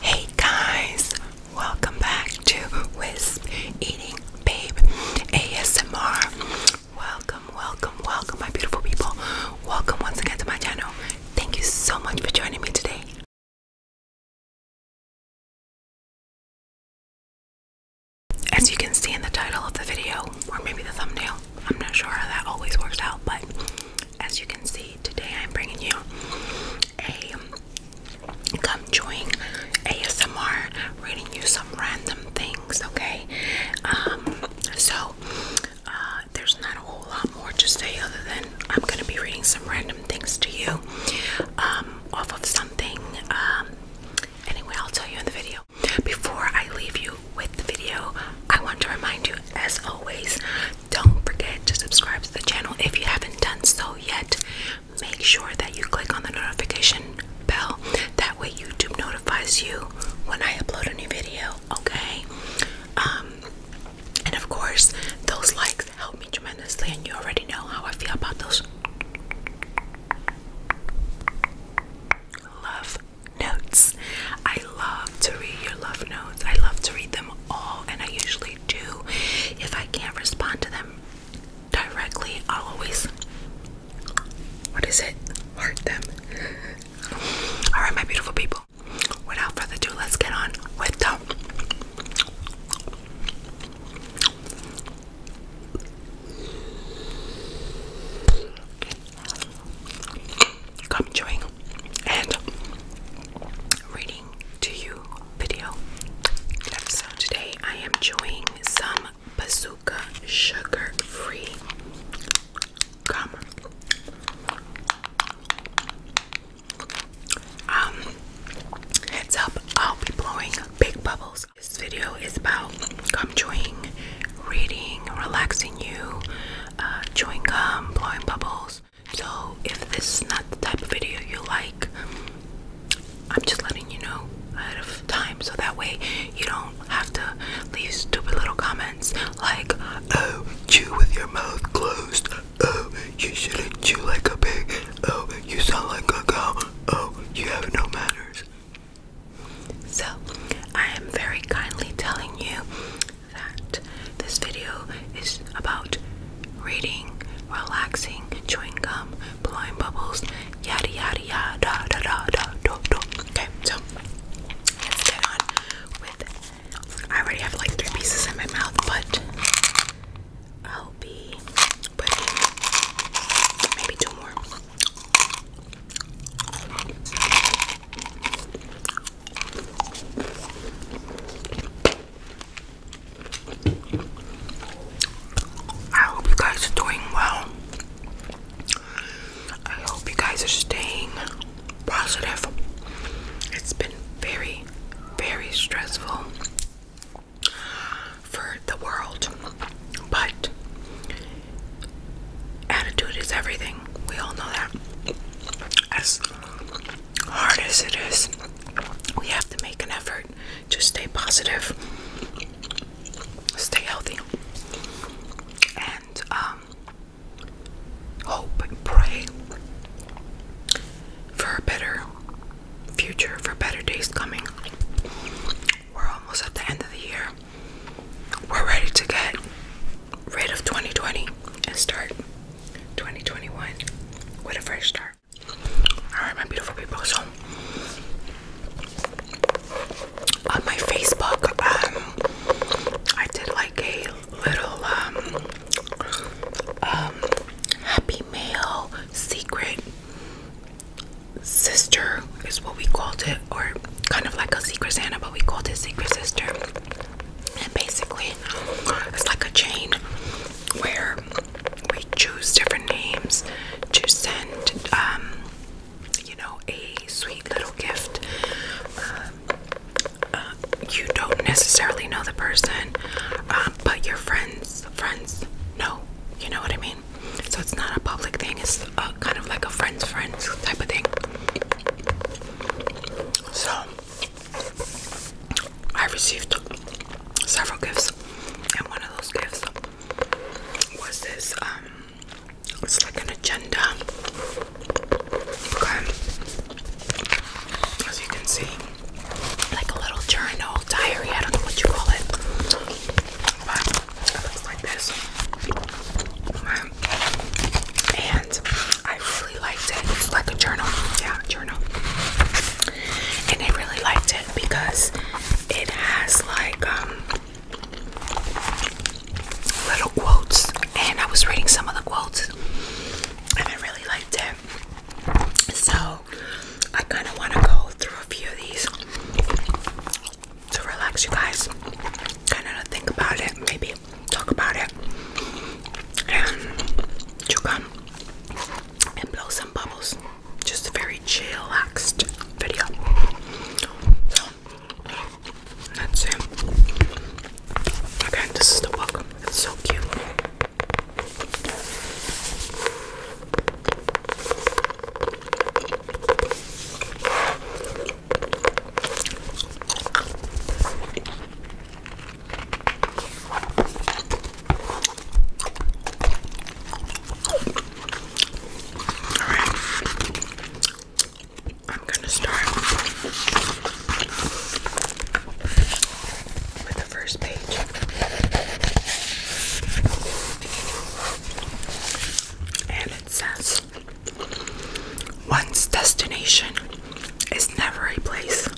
Hey guys, welcome back to Wisp Eating Babe ASMR. Welcome, welcome, welcome, my beautiful people. Welcome once again to my channel. Thank you so much for joining me today. As you can see in the title of the video, or maybe the thumbnail, I'm not sure how that always works out, but as you can see, today, I'm bringing you a come join ASMR, reading you some random things, okay? Um, so, uh, there's not a whole lot more to say other than I'm gonna be reading some random things to you, um, off of something, um, anyway, I'll tell you in the video. Before I leave you with the video, I want to remind you as always, don't forget to subscribe to the channel if you haven't done so yet. Make sure that you click on the notification bell. That way, YouTube notifies you when I upload a new video, okay? Um, and of course, those likes help me tremendously, and you already know how I feel about those love notes. I love to read your love notes. I love to read them all, and I usually do. If I can't respond to them directly, I'll always what is it? Hurt them. Alright, my beautiful people. Without further ado, let's get on with the gum chewing and reading to you video. So today I am chewing some bazooka sugar free gum. heads up, I'll be blowing big bubbles. This video is about gum chewing, reading, relaxing you, uh, chewing gum, blowing bubbles. So if this is not the type of video you like, I'm just letting you know ahead of time so that way you don't have to leave stupid little comments like, oh, chew with your mouth closed, oh, you shouldn't chew like a pig, oh, you sound like a cow, oh, you have no manners. So, I am very kindly telling you that this video is about reading, relaxing, chewing gum, blowing bubbles, yada yada yada da da da da da. da. Okay, so let's get on with. I already have like three pieces in my mouth, but I'll be putting maybe two more. I hope you guys are doing well. I hope you guys are staying positive. It's been very, very stressful for the world, but attitude is everything. We all know that. As hard as it is, we have to make an effort to stay positive, stay healthy, and um, hope and pray for a better future, for better days coming. We're almost at the end of the year. We're ready to get rid of 2020 and start 2021 with a fresh start. Alright, my beautiful people. So, on my Facebook, um, I did like a little um, um, happy mail secret sister, is what we called it, or kind of like a secret Santa, but we called it secret sister basically, it's like a chain where we choose different names to send, um, you know, a sweet little gift. Um, uh, you don't necessarily know the person, um, but your friends, friends know. You know what I mean? So it's not a public thing. It's kind of like a friends, friends type of thing. So I received several gifts, and one of those gifts was this. Um, it's like an agenda. Okay, as you can see, like a little journal, diary. I don't know what you call it, but it looks like this. I really liked it. It's like a journal, yeah, journal. And I really liked it because it has like um little quotes, and I was reading some of the quotes, and I really liked it. So I kind of want to go through a few of these to relax you guys, kind of think about it, maybe talk about it and chew gum and blow some bubbles. Just a very chillaxed video. that's it. Again, this is the welcome. It's so cute right. I'm going to start with the first page. And it says One's destination is never a place,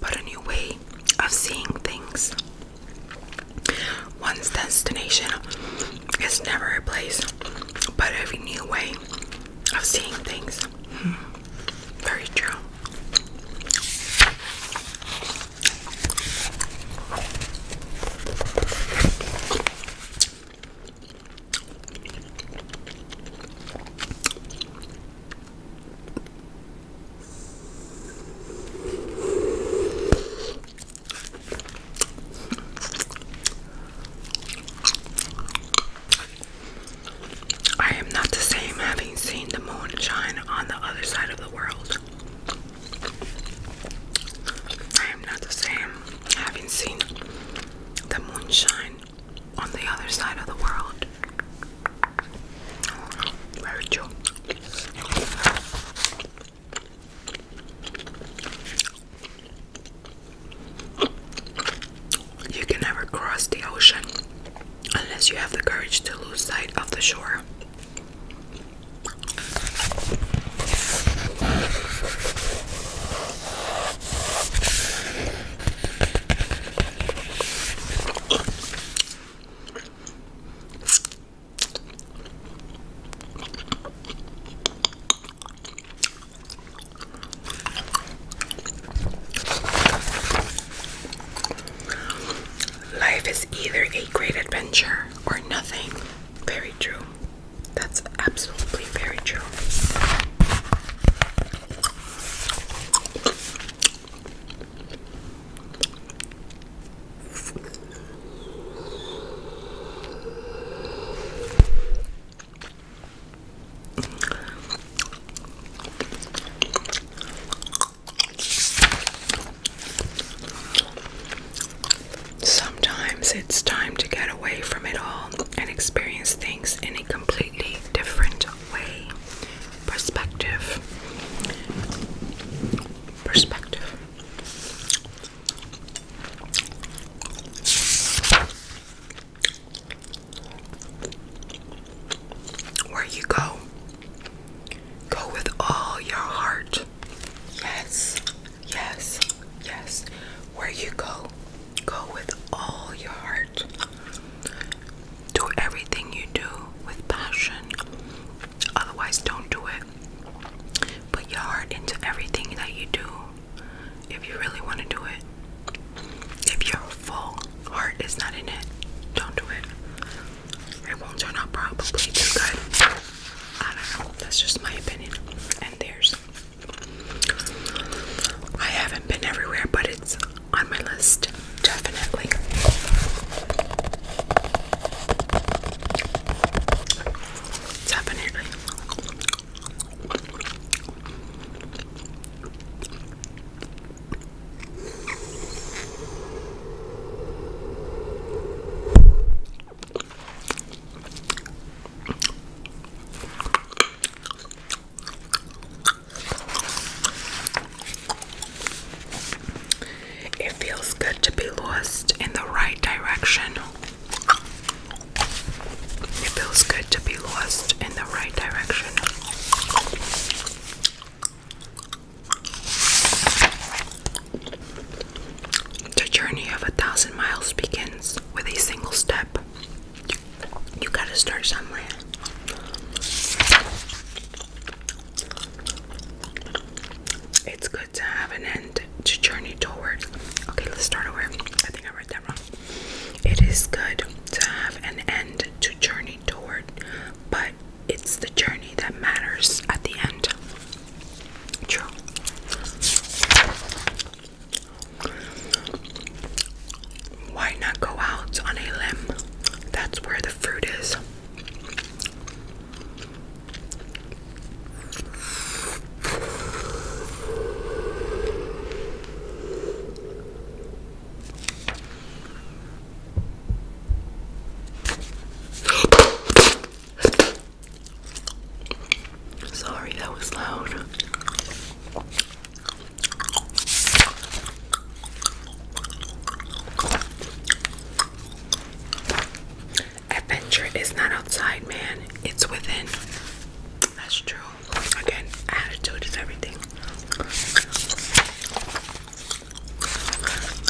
but a new way of seeing things. One's destination is never a place, but a new way of seeing things. Hmm. Very true. I am not the same having seen the moon shine on the other side of the world. I am not the same having seen the moonshine on the other side of the world. Very You can never cross the ocean unless you have the courage to lose sight of the shore. Life is either a great adventure or nothing. Very true. That's absolutely very true. Sometimes it's time to get away from it all and experience things in a completely different way. Perspective. Perspective. Where you go, go with all your heart. Yes, yes, yes. Where you go, Go with all your heart. Do everything you do with passion. Otherwise, don't do it. Put your heart into everything that you do if you really want to do it. If your full heart is not in it, don't do it. It won't turn out probably too good. I don't know. That's just my opinion. And theirs. I haven't been everywhere, but it's on my list, definitely. Definitely. It feels good to be lost in the right direction. It feels good to be lost in the right direction. The journey of a thousand miles begins with a single step. You gotta start somewhere. It's good to have an end to journey toward. Okay, let's start over. I think I read that wrong. It is good to have an end to journey toward, but it's the journey that matters at the end. True. Why not go out on a limb? That's where the fruit is. Sorry, that was loud. Adventure is not outside, man. It's within. That's true. Again, attitude is everything.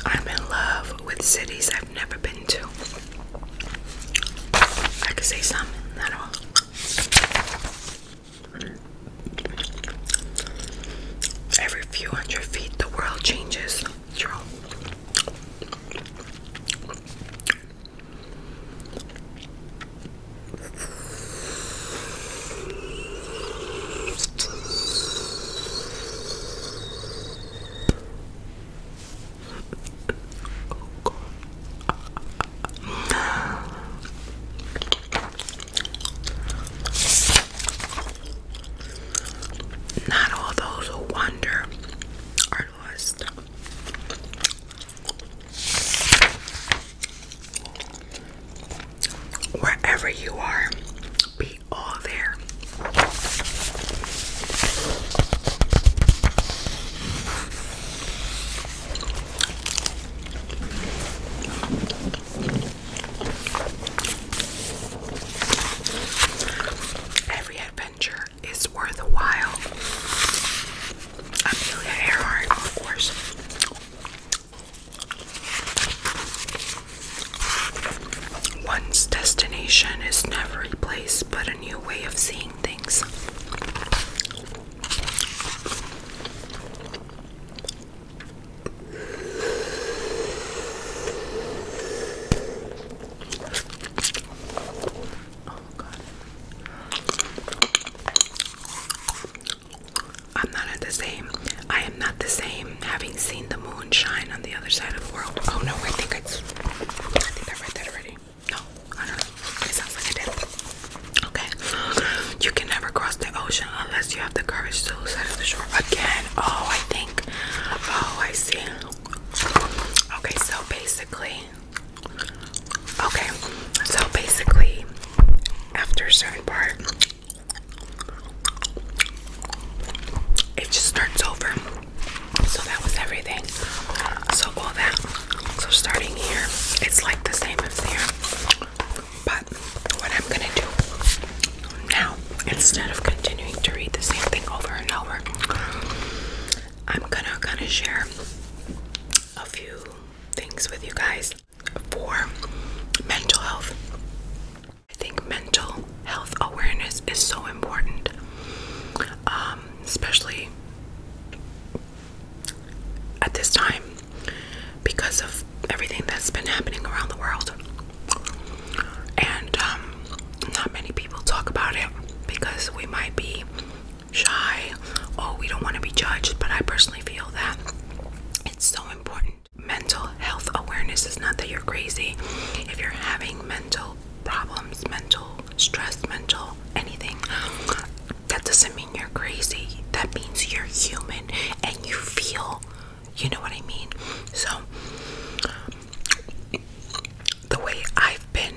I'm in love with cities I've never been to. I could say some, not Every few hundred feet, the world changes. True. Oh, God. Not all those who wander are lost. Wherever you are, be all there. Every adventure is worthwhile. Amelia Earhart, of course. One's destination is never a place but a new way of seeing things. Oh, I'm not the same. I am not the same having seen the moon shine on the other side of the world. Oh no, I think I think I read that already. No, I don't It sounds like I did. Okay. You can never cross the ocean unless you have the courage to lose the shore. Again. Oh, I think. Oh, I see. Okay, so basically. Okay, so basically, after a certain part, it just starts over. So that was everything. So all that. So starting here, it's like the same as there. But what I'm gonna do now, instead of continuing to read the same thing over and over, I'm gonna kind of share a few things with you guys for mental health. I think mental health awareness is so important, um, especially at this time because of everything that's been happening around the world. And um, not many people talk about it because we might be shy or oh, we don't want to be judged, but I personally feel that it's so important. Mental health awareness is not that you're crazy. If you're having mental problems, mental stress, mental anything, that doesn't mean you're crazy. That means you're human and you feel. You know what I mean? So, the way I've been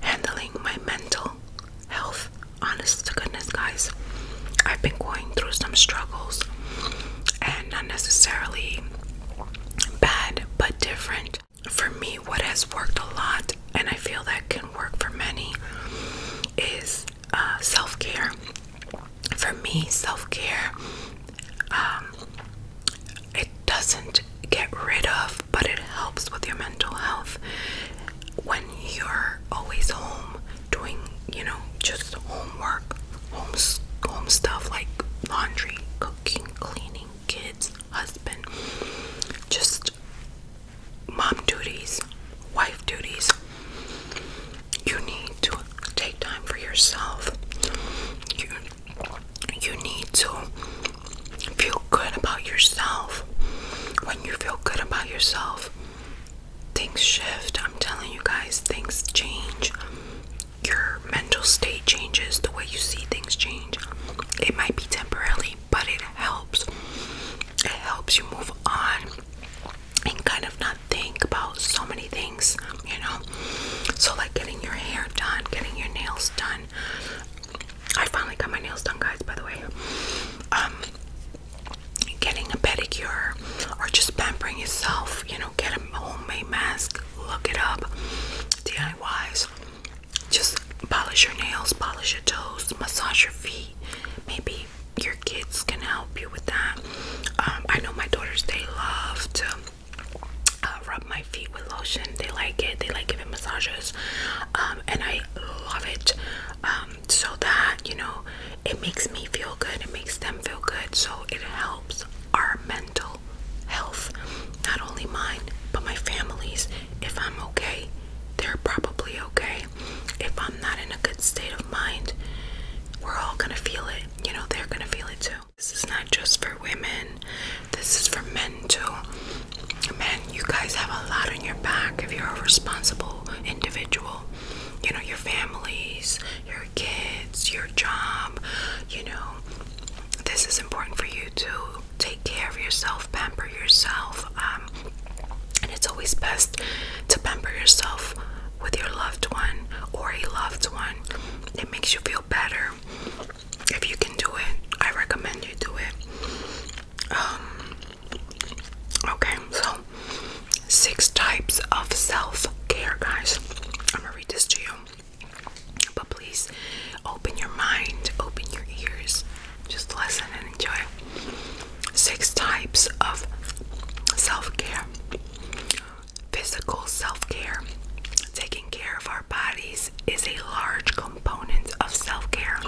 handling my mental health, honest to goodness, guys, I've been going through some struggles and not necessarily bad, but different. For me, what has worked a lot and I feel that can work for many, is uh, self care. For me, self care, um, it doesn't get rid of, but it helps with your mental health. When you're always home doing, you know, just homework, home, home stuff like laundry, cooking, cleaning, kids, husband, just mom duties, wife duties. You need to take time for yourself. You you need to feel good about yourself. When you feel good about yourself, things shift. I'm telling you guys, things change. Your mental state changes, the way you see things change. It might be temporarily, but it helps. It helps you move on and kind of not think about so many things, you know. So, like getting your hair done, getting your nails done. I finally got my nails done, guys, by the way. Um, getting a pedicure or just pampering yourself, you know, get a homemade mask, look it up, DIYs just polish your nails, polish your toes, massage your feet. Maybe your kids can help you with that. Um, I know my daughters, they love to uh, rub my feet with lotion. They like it. They like giving massages. Um, and I love it. Um, so that, you know, it makes me feel good. It makes them feel good. So it helps our mental health. Not only mine, but my family's. If I'm okay, they're probably okay. If I'm not in a good state of mind, we're all gonna feel it. You know, they're gonna feel it too. This is not just for women, this is for men too. Men, you guys have a lot on your back if you're a responsible individual. You know, your families, your kids, your job, you know. This is important for you to take care of yourself, pamper yourself. Um, and it's always best to pamper yourself with your loved one or a loved one. It makes you feel better. If you can do it, I recommend you do it. Um, okay, so six types of self care, guys. I'm gonna read this to you. But please open your mind, open your ears, just listen and enjoy. Six types of self care physical self care. Taking care of our bodies is a large component of self care,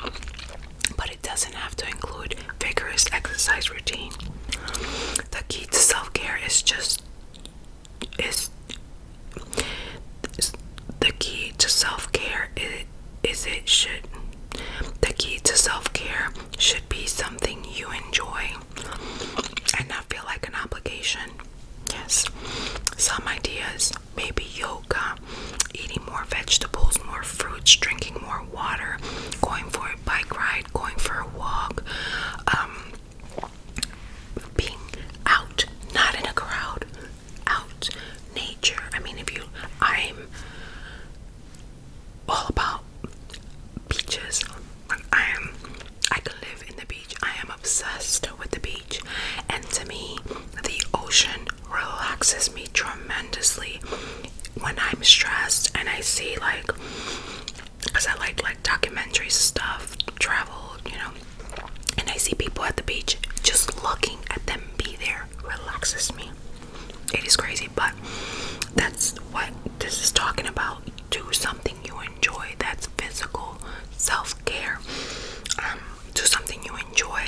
but it doesn't have to include vigorous exercise routine. The key to self care is just is the key to self care is is it should the key to self-care should be something you enjoy and not feel like an obligation. Yes. Some ideas maybe yoga, eating more vegetables, more fruits, drinking more water, going for a bike ride, going for a walk, um being out, not in a crowd, out nature. I mean, if you, I'm all about beaches. I am, I could live in the beach. I am obsessed with the beach, and to me, the ocean relaxes me tremendously when I'm stressed. And I see like, cause I like like documentaries stuff, travel, you know. And I see people at the beach just looking at them be there hair relaxes me. It is crazy, but that's what this is talking about. Do something you enjoy that's physical self care. Um, do something you enjoy,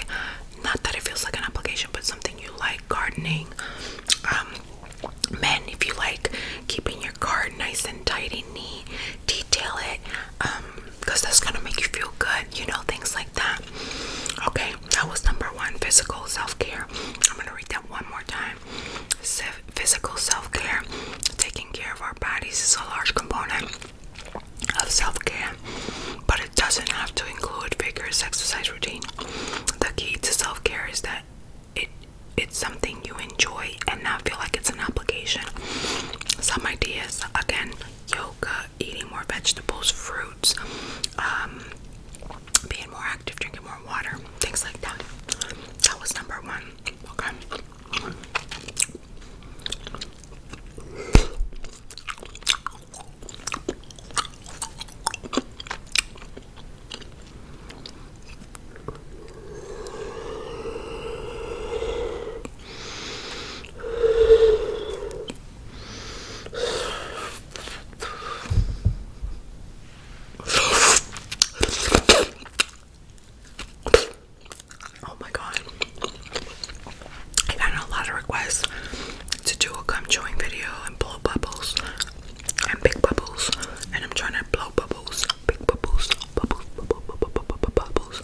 not that it feels like an obligation, but something you like gardening. men, um, if you like keeping your garden nice and tidy, neat, detail it, um because that's gonna make you feel good you know things like that okay that was number one physical self-care i'm gonna read that one more time physical self-care taking care of our bodies is a large component of self-care but it doesn't have to include vigorous exercise routine the key to self-care is that it it's something you enjoy and not feel like it's an obligation some ideas again yoga uh, eating more vegetables, fruits, um, being more active, drinking more water, things like that. That was number one. Okay. Oh my god. I got a lot of requests to do a gum chewing video and blow bubbles and big bubbles and I'm trying to blow bubbles, big bubbles, bubbles, bubbles, bubbles, bubbles.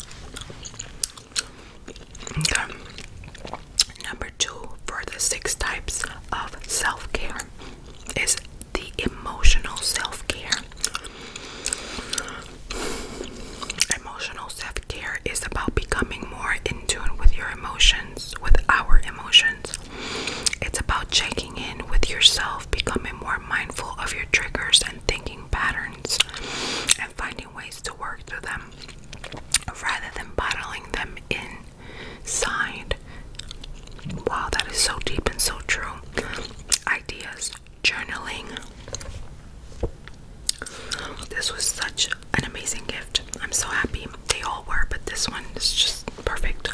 Okay. Number two for the six types of self care is the emotional self care. Emotional self care is about becoming more in tune with your emotions, with our emotions. It's about checking in with yourself, becoming more mindful of your triggers and thinking patterns, and finding ways to work through them rather than bottling them inside. Wow, that is so deep and so true. Ideas, journaling. This was such an amazing gift. I'm so happy. They all were, but this one is just perfect.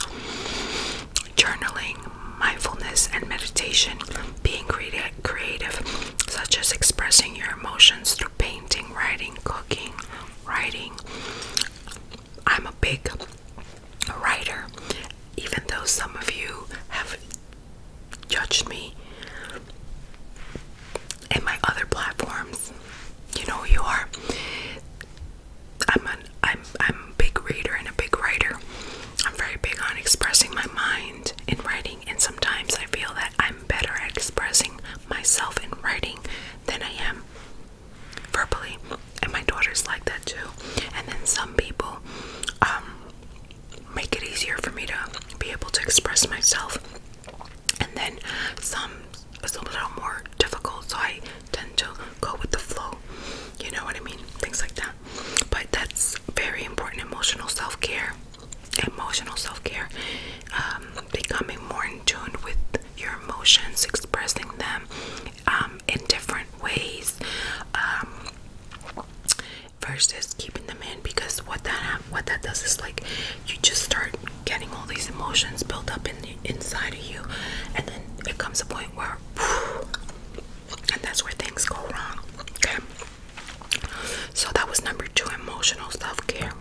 Journaling, mindfulness, and meditation. Being creative creative, such as expressing your emotions through painting, writing, cooking, writing. I'm a big writer, even though some of you have judged me in my other platforms. You know who you are. I'm an am I'm a big reader and a big writer. I'm very big on expressing my mind in writing and sometimes I feel that I'm better at expressing myself in writing than I am verbally. And my daughter's like that too. And then some people um, make it easier for me to be able to express myself, and then some is a little more difficult, so I tend to go with the flow. You know what I mean? Things like that. But that's very important emotional self care emotional self-care um, becoming more in tune with your emotions expressing them um, in different ways um, versus keeping them in because what that what that does is like you just start getting all these emotions built up in the, inside of you and then it comes a point where and that's where things go wrong so that was number two emotional self care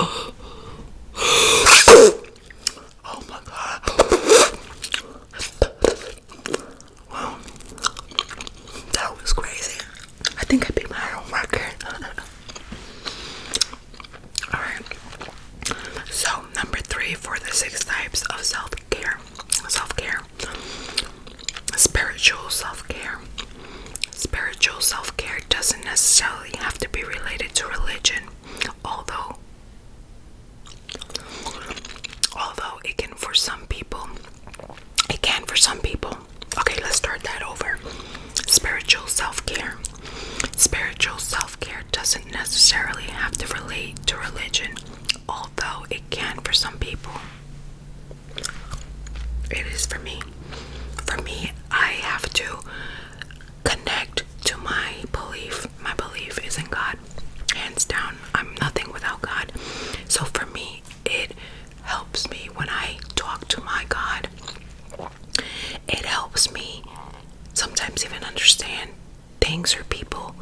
oh my god. Wow. That was crazy. I think I beat my own record. Alright. So number three for the six types of self-care. Self-care. Spiritual self-care. Spiritual self care doesn't necessarily have to be related to religion, although although it can for some people it can for some people. Okay, let's start that over. Spiritual self care. Spiritual self care doesn't necessarily have to relate to religion, although it can for some people. It is for me. For me, I have to connect to my belief. My belief is in God. Hands down, I'm nothing without God. So for me, it helps me when I talk to my God. It helps me sometimes even understand things or people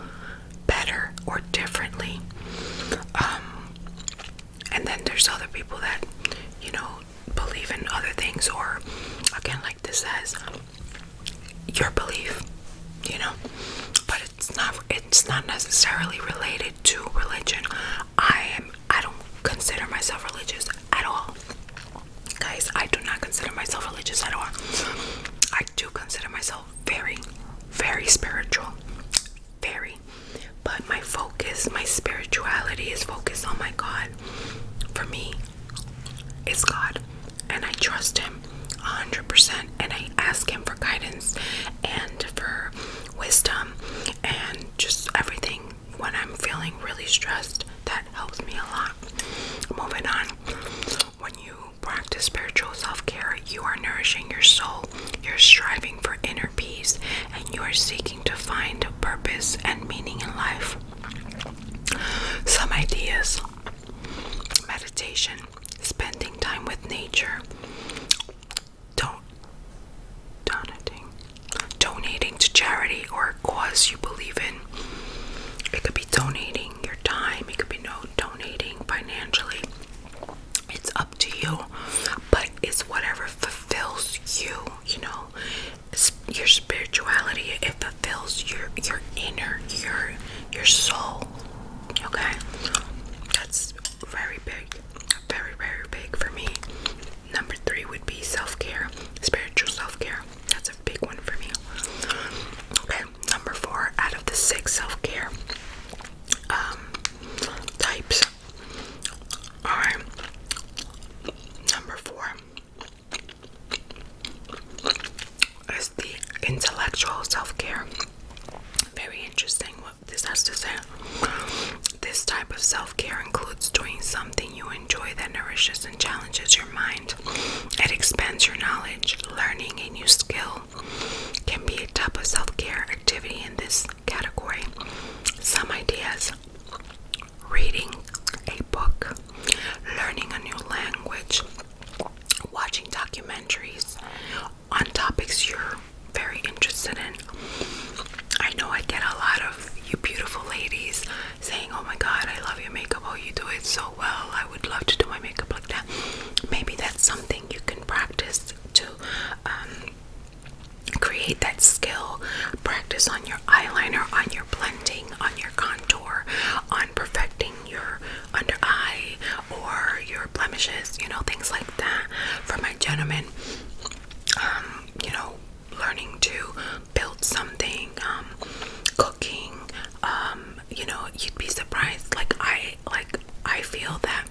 better or differently. Um, and then there's other people that you know believe in other things or again like this says your belief you know but it's not it's not necessarily related to religion i am i don't consider myself religious at all guys i do not consider myself religious at all i do consider myself very very spiritual very. But my focus, my spirituality is focused on my God. For me, it's God. And I trust Him 100%. And I ask Him for guidance and for wisdom and just everything when I'm feeling really stressed. That helps me a lot. Moving on. When you practice spiritual self care, you are nourishing your soul you're striving for inner peace and you are seeking to find purpose and meaning in life. Some ideas meditation, spending time with nature, don't, donating, donating to charity or cause you believe in. It could be donating your time, it could be no donating financially. It's up to you, but it's whatever fulfills you, you know, it's your spirituality, it fulfills your your inner, your your soul. Okay? That's very big. Very, very big for me. Number three would be self-care, spiritual self-care. That's a big one for me. Okay, number four out of the six self-care um, types Alright. Number four is the intellectual self care. Very interesting what this has to say. This type of self care includes doing something you enjoy that nourishes and challenges your mind. It expands your knowledge. Learning a new skill can be a type of self care activity in this category some ideas reading a book, learning a new language, watching documentaries on topics you're very interested in. I know I get a lot of you beautiful ladies saying, Oh my god, I love your makeup. Oh, you do it so well. I would love to do my makeup like that. Maybe that's something you can practice to um, create that skill practice on your eyeliner on your blending on your contour on perfecting your under eye or your blemishes you know things like that for my gentlemen um, you know learning to build something um, cooking um, you know you'd be surprised like i like i feel that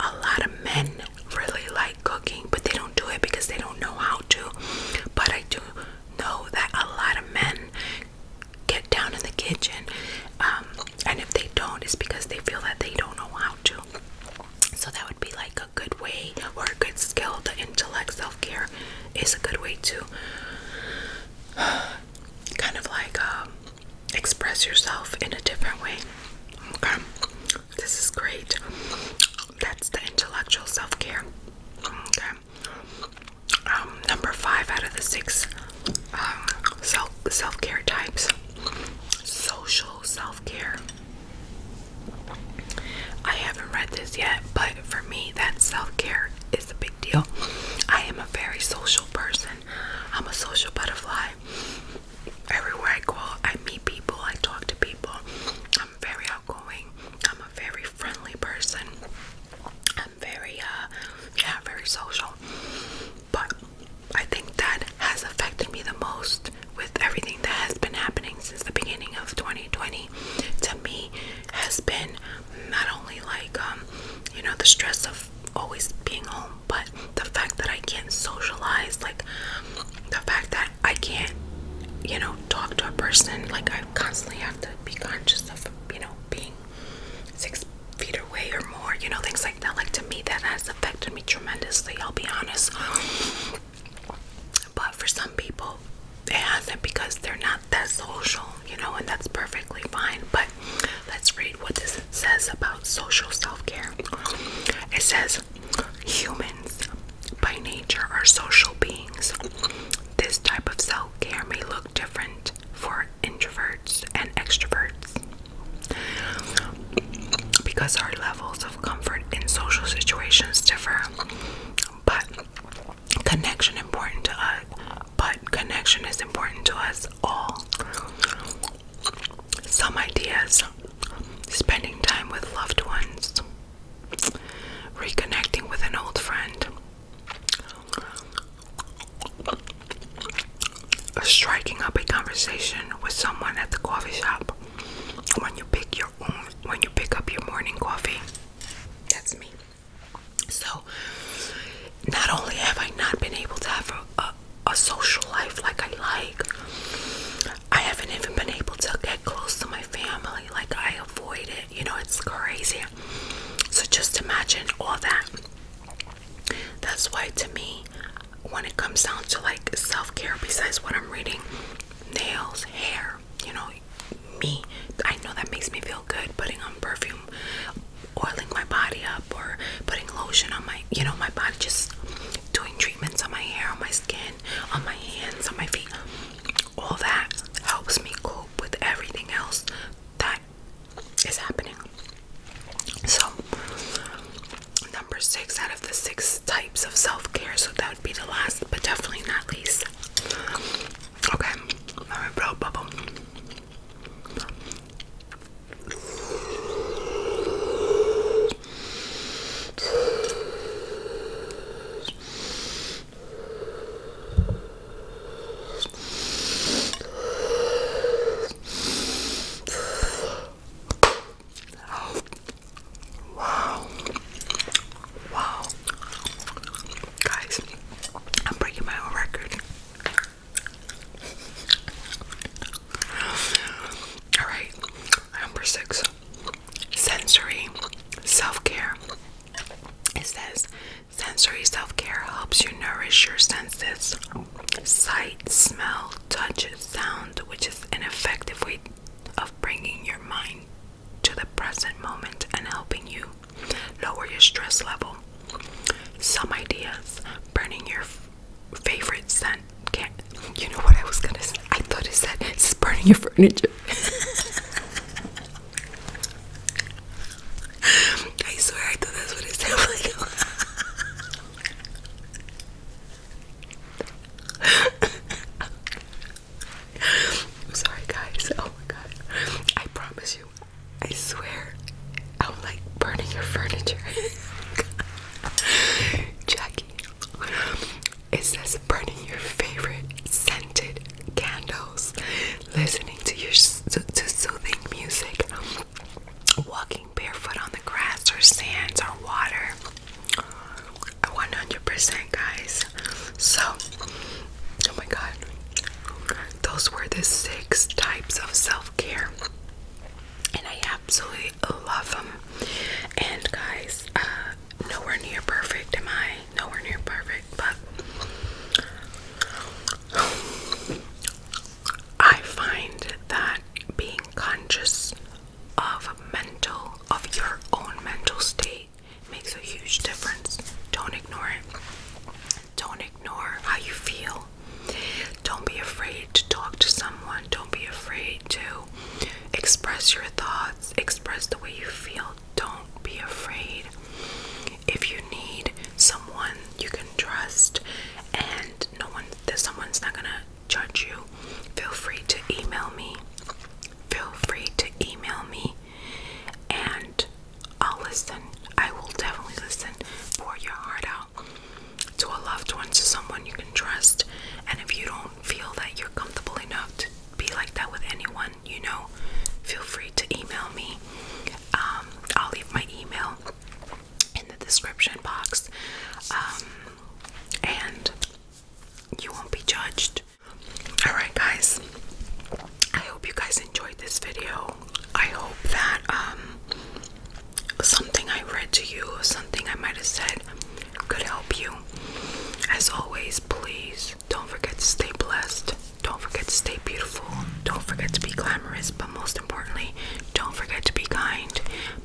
a lot of men really like cooking, but they don't do it because they don't know how to. But I do know that a lot of men get down in the kitchen, um, and if they don't, it's because they feel that they don't know how to. So that would be like a good way or a good skill. The intellect self care is a good way to kind of like um, express yourself in a different way. Okay, this is great. That's the intellectual self care. Okay. Um, number five out of the six um, self self care types. Social self care. I haven't read this yet, but for me, that self care is a big deal. I am a very social person. I'm a social butterfly everywhere I go, I meet people, I talk to people. I'm very outgoing. I'm a very friendly person. I'm very, uh, yeah, very social. But I think that has affected me the most with everything that has been happening since the beginning of 2020. To me, has been not only like, um, you know, the stress of always being home but the fact that I can't socialize, like the fact that I can't, you know, talk to a person, like I constantly have to be conscious of, you know, being six feet away or more, you know, things like that. Like to me, that has affected me tremendously, I'll be honest. But for some people, it hasn't because they're not that social, you know, and that's perfectly fine. But let's read what this says about social self care. It says humans by nature are social beings, this type of self care may look different for introverts and extroverts. Because our levels of comfort in social situations differ, but connection important to us. But connection is important to us all. Some ideas spending time with loved ones, reconnecting with an old friend, striking up a conversation with someone at the coffee shop when you pick your when you pick up your morning coffee. That's me. So, not only have I not been able to have a a, social life like I like. I haven't even been able to get close to my family, like I avoid it. You know, it's crazy. So just imagine all that. That's why, to me, when it comes down to like self care, besides what I'm reading, nails, hair, you know, me, I know that makes me feel good putting on perfume, oiling my body up, or putting lotion on my, you know, my body just doing treatments on my hair, on my skin, on my hands, on my feet. All that helps me cope with everything else that is happening. So, number six out of the six types of self care. So, that would be the last, but definitely not least. Okay, my bubble. Wow. Wow. Guys, I'm breaking my own record. All right, number six sensory self care. It says sensory self care helps you nourish your senses sight, smell, touch, sound, which is an effective way of bringing your mind to the present moment and helping you lower your stress level. Some ideas burning your favorite scent. Can't, you know what I was gonna say? I thought it said it's burning your furniture. I swear I thought that's what it sounded like. I'm sorry guys. Oh my god. I promise you. I swear I was like burning your furniture. Jackie, it says burning your favorite scented candles, listening to your to soothing music, walking barefoot on the grass or sands or water. 100% guys. So, oh my god. Those were the six types of self-care. And I absolutely love them. And guys, uh, nowhere near perfect. Am I nowhere near perfect? But I find that being conscious of mental, of your own mental state, makes a huge difference. Don't ignore it. Don't ignore how you feel. Don't be afraid to talk to someone. Don't be afraid to express your thoughts, express the way you feel. Don't be afraid. If you need someone you can trust and no one that someone's not gonna judge you, feel free to email me. Feel free to email me and I'll listen. I will definitely listen. Pour your heart out to a loved one, to someone you can trust. And if you don't feel that you're comfortable enough to be like that with anyone, you know, feel free to email me. Um, I'll leave my email in the description box. Um, and you won't be judged. Alright, guys. I hope you guys enjoyed this video. I hope that um, something I read to you, or something I might have said could help you. As always, please don't forget to stay blessed. Don't forget to stay beautiful. Don't forget to be glamorous, but most importantly, don't forget to be kind.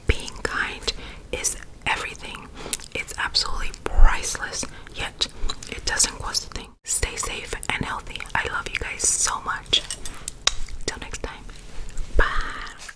Being kind is everything. It's absolutely priceless, yet it doesn't cost a thing. Stay safe and healthy. I love you guys so much. Till next time. Bye.